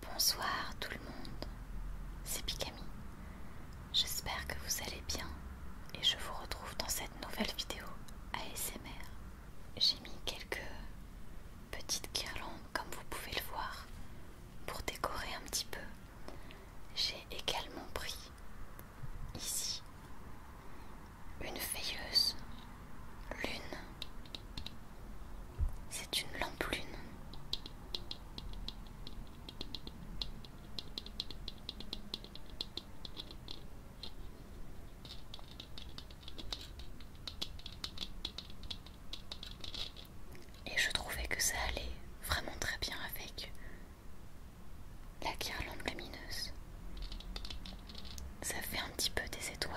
Bonsoir tout le monde, c'est Pikami. J'espère que vous allez bien et je vous retrouve dans cette nouvelle vidéo ASMR. J'ai mis quelques petites guirlandes comme vous pouvez le voir pour décorer un petit peu, j'ai également pris ici une veilleuse lune. C'est une lampe lune. Et je trouvais que ça allait vraiment très bien avec la guirlande lamineuse, Ça fait un petit peu des étoiles.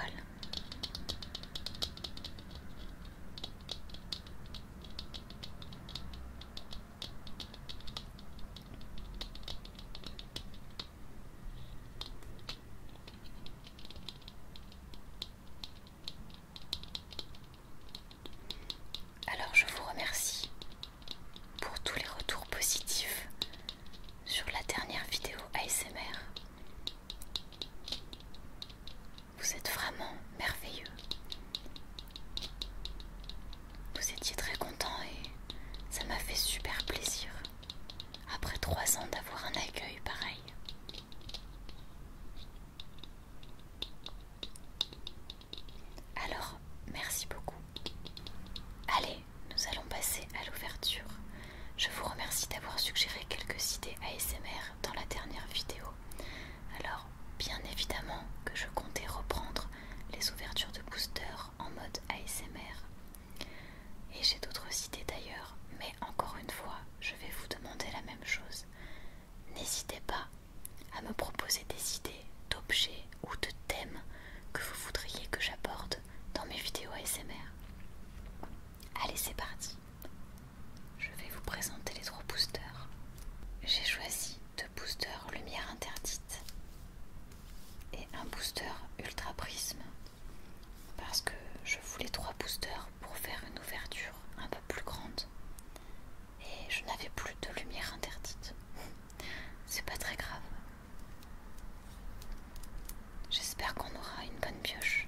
Alors je vous remercie pour tous les retours positifs sur la dernière vidéo ASMR. Vous êtes vraiment merveilleux. Vous étiez très content et ça m'a fait super plaisir après trois ans d'avoir un accueil pareil. Alors, merci beaucoup. Allez, nous allons passer à l'ouverture. Je vous remercie d'avoir suggéré quelques idées ASMR dans la dernière vidéo. Alors, bien évidemment que je comptais reprendre les ouvertures de booster en mode ASMR. Et j'ai d'autres idées d'ailleurs, mais encore une fois, je vais vous demander la même chose n'hésitez pas à me proposer des idées, d'objets ou de thèmes que vous voudriez que j'aborde dans mes vidéos ASMR. Allez, c'est parti. Je vais vous présenter les trois boosters. J'ai choisi deux boosters lumière interdite et un booster ultra prisme parce que je voulais trois boosters pour faire une ouverture un peu plus grande et je n'avais plus de lumière interdite. C'est pas très grave. J'espère qu'on aura une bonne pioche.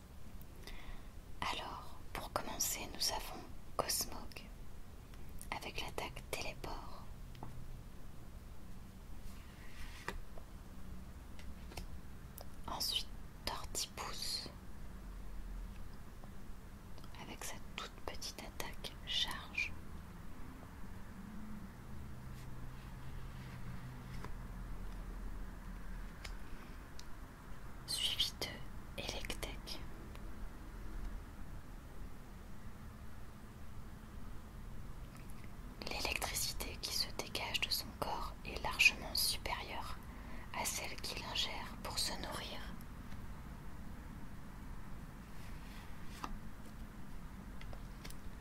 Alors, pour commencer, nous avons Cosmog avec l'attaque Téléport. Ensuite, Tortipousse avec sa toute petite attaque Charge suivi de Electek. L'électricité qui se dégage de son corps est largement supérieure à celle qu'il ingère pour se nourrir.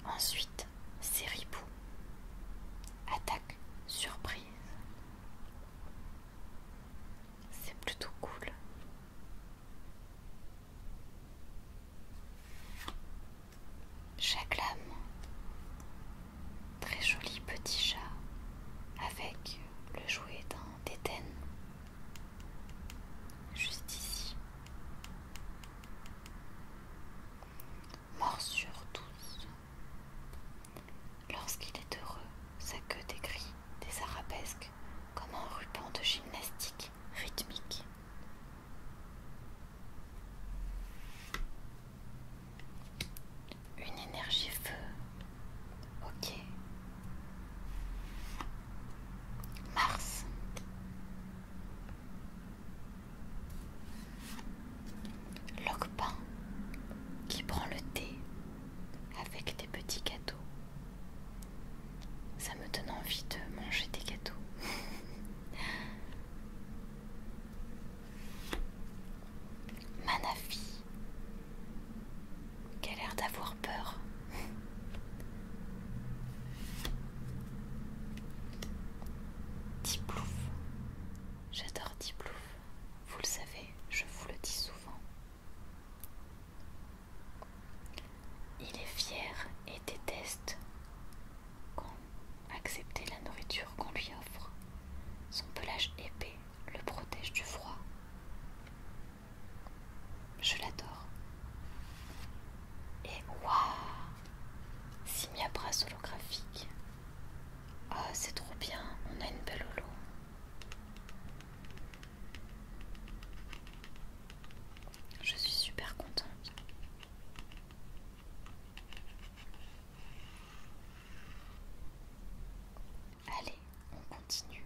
Ensuite, ses ripoux. Attaque surprise. C'est plutôt cool. Chaque lame, très joli petit chat avec le jouet d'un déten juste ici. sur tous. Lorsqu'il est heureux, sa queue décrit des arabesques comme un ruban de gymnastique rythmique. Une énergie feu. Ok. Mars. Locpin qui prend le thé avec des petits gâteaux. Ça me donne envie de manger des gâteaux. Manafi, qu'elle a l'air d'avoir peur. Tiplouf, j'adore Tiplouf. Vous le savez, je vous le dis souvent. Il est fier et déteste accepter la nourriture qu'on lui offre. Son pelage épais le protège du froid. Je l'adore. Et waouh Simia brasse holographique. Ah, oh, c'est trop bien, on a une belle holo. Je suis super contente. Allez, on continue.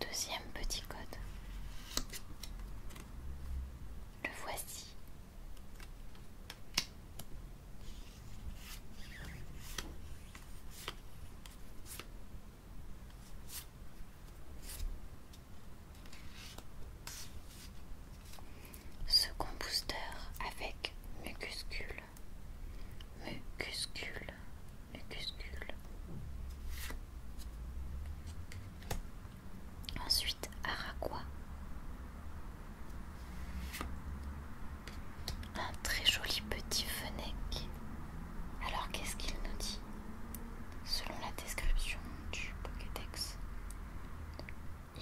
Deuxième petit code. Le voici. Second booster avec mucuscule, mucuscule, mucuscule. Ensuite, Araqua un très joli petit fennec. Alors qu'est-ce qu'il nous dit Selon la description du Pokédex,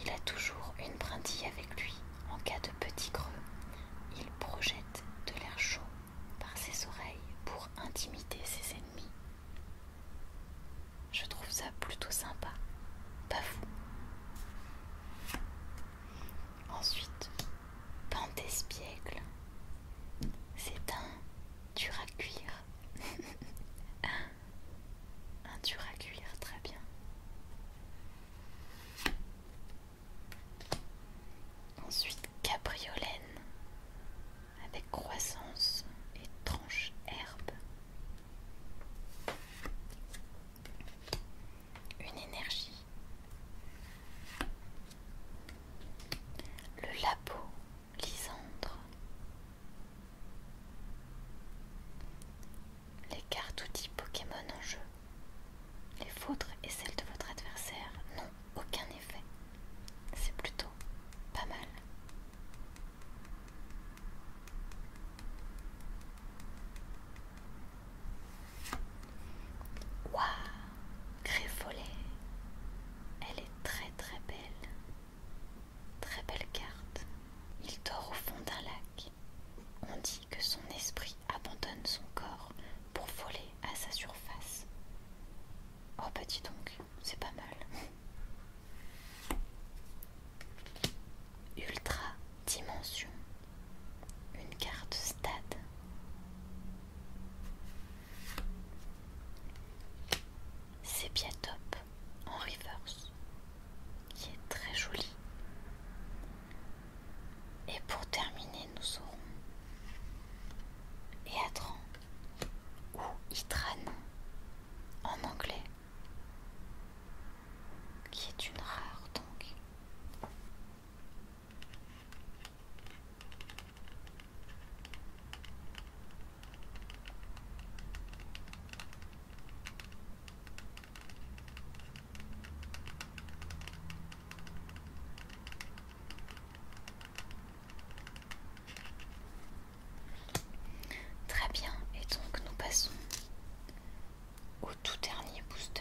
il a toujours une brindille avec lui en cas de petit creux. Il projette de l'air chaud par ses oreilles pour intimider ses ennemis. Je trouve ça plutôt sympa, pas vous. Ensuite, d'espiègle. C'est un dur à un dur à très bien. Ensuite, cabriolène avec croissance et tranche herbe. Une énergie le labo Lysandre. Les cartes outils Pokémon en jeu. Les vôtres et celles de votre adversaire n'ont aucun effet. C'est plutôt pas mal. Waouh, Griffolet, elle est très très belle. Très belle carte. Il dort au fond d'un lac. On dit que son esprit abandonne son corps pour voler à sa surface. Oh petit bah, donc, c'est pas mal. Ultra Dimension. Une carte stade. C'est top, en reverse qui est très joli. Et pour terminer, nous aurons Eatran ou Itran en anglais, qui est une rare donc. Très bien, et donc nous passons au tout dernier booster.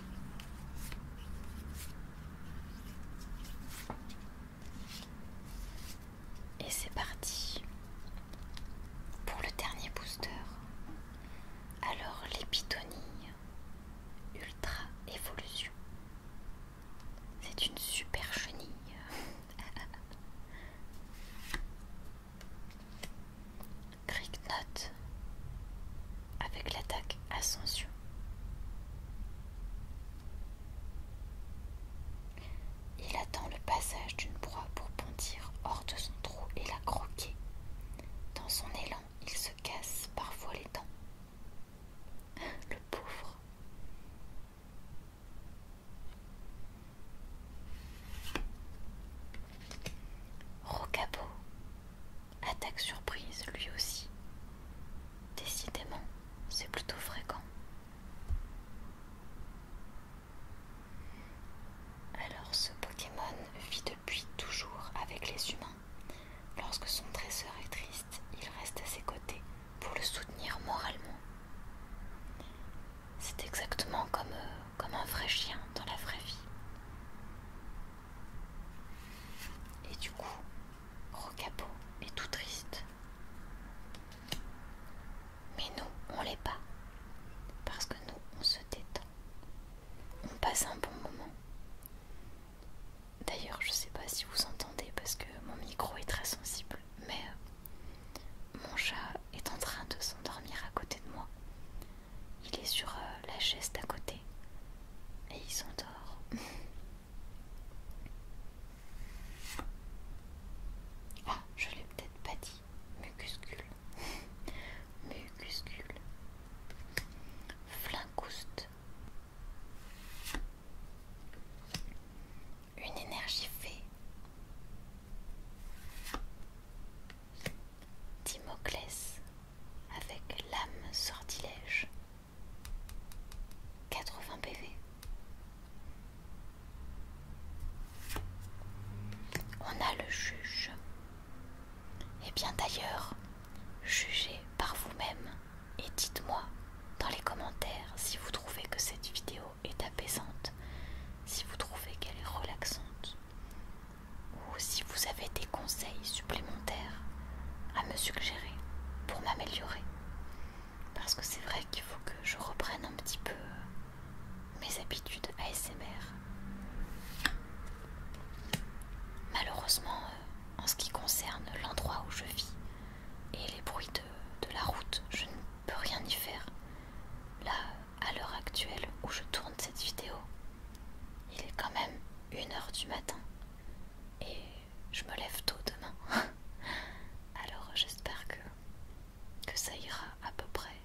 Et c'est parti pour le dernier booster. Alors l'épitonie ultra évolution. C'est une super chenille. note avec l'attaque Ascension. Il attend le passage d'une proie pour bondir hors de son trou et la croquer. Dans son élan, il se casse parfois les dents. Le pauvre. Rocabo Attaque surprise, lui aussi. Décidément, c'est plutôt fréquent. Alors ce Pokémon vit depuis toujours avec les humains. Lorsque son tresseur est triste, il reste à ses côtés pour le soutenir moralement. C'est exactement comme euh, comme un vrai chien dans la vraie vie. Et du coup, Rocapo est tout triste. Mais nous, on l'est pas. Parce que nous, on se détend. On passe un bon moment. D'ailleurs, je sais pas si vous entendez parce que mon micro est très sensible, mais euh, mon chat est en train de s'endormir à côté de moi. Il est sur euh, la chaise d'à côté et sont s'endort. ah, je l'ai peut-être pas dit. Mucuscule. Mucuscule. Flincouste. Une énergie fée. Timoclès, avec l'âme sortilège. 80 PV. On a le juge. Et eh bien d'ailleurs, jugez par vous-même et dites-moi dans les commentaires si vous trouvez que cette vidéo est apaisante, si vous trouvez qu'elle est relaxante, ou si vous avez des conseils supplémentaires à me suggérer pour m'améliorer. Parce que c'est vrai qu'il faut que je reprenne un petit peu euh, mes habitudes ASMR. Malheureusement, euh, en ce qui concerne l'endroit où je vis et les bruits de, la route, je ne peux rien y faire. Là, à l'heure actuelle où je tourne cette vidéo, il est quand même une heure du matin et je me lève tôt demain. Alors j'espère que, ça ira à peu près.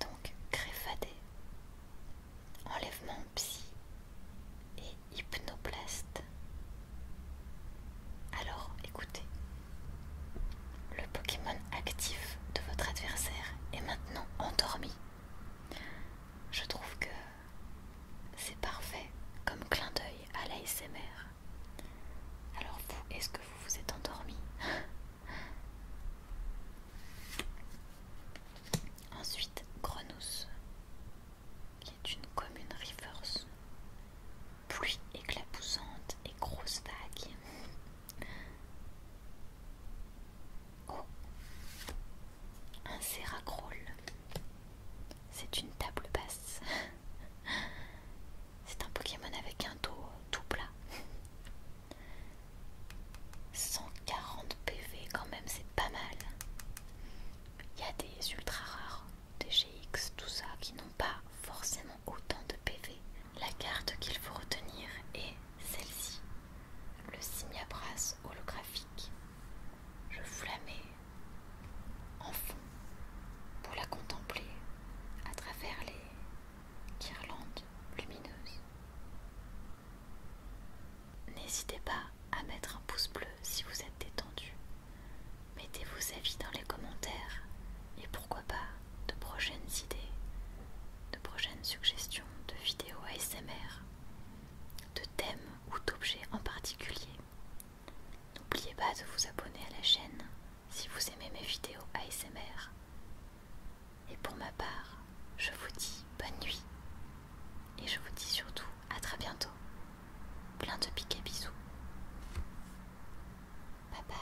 Donc créfadé, enlèvement psy et hypnoplaste. Alors écoutez, le Pokémon actif de votre adversaire est maintenant endormi. Je trouve que c'est parfait comme clin d'œil à l'ASMR. Alors vous, est-ce que vous vous êtes endormi Ensuite, Grenousse, qui est une commune rivers, pluie éclaboussante et grosse vague. Oh. Un séracroule. C'est une table basse. C'est un Pokémon avec un dos tout plat. 140 PV quand même, c'est pas mal. Il y a des ultra rares, des GX, tout ça, qui n'ont pas forcément autant de PV. La carte qu'il faut retenir est celle-ci, le simiabras holographique. Je vous la mets en fond pour la contempler à travers les guirlandes lumineuses. N'hésitez pas à mettre un pouce bleu si vous êtes détendu. Mettez vos avis dans les commentaires et pourquoi pas de prochaines idées, de prochaines suggestions de vidéos ASMR de thèmes ou d'objets en particulier. N'oubliez pas de vous abonner à la chaîne si vous aimez mes vidéos ASMR. Et pour ma part, je vous dis bonne nuit et je vous dis surtout à très bientôt. Plein de à bisous. Bye bye.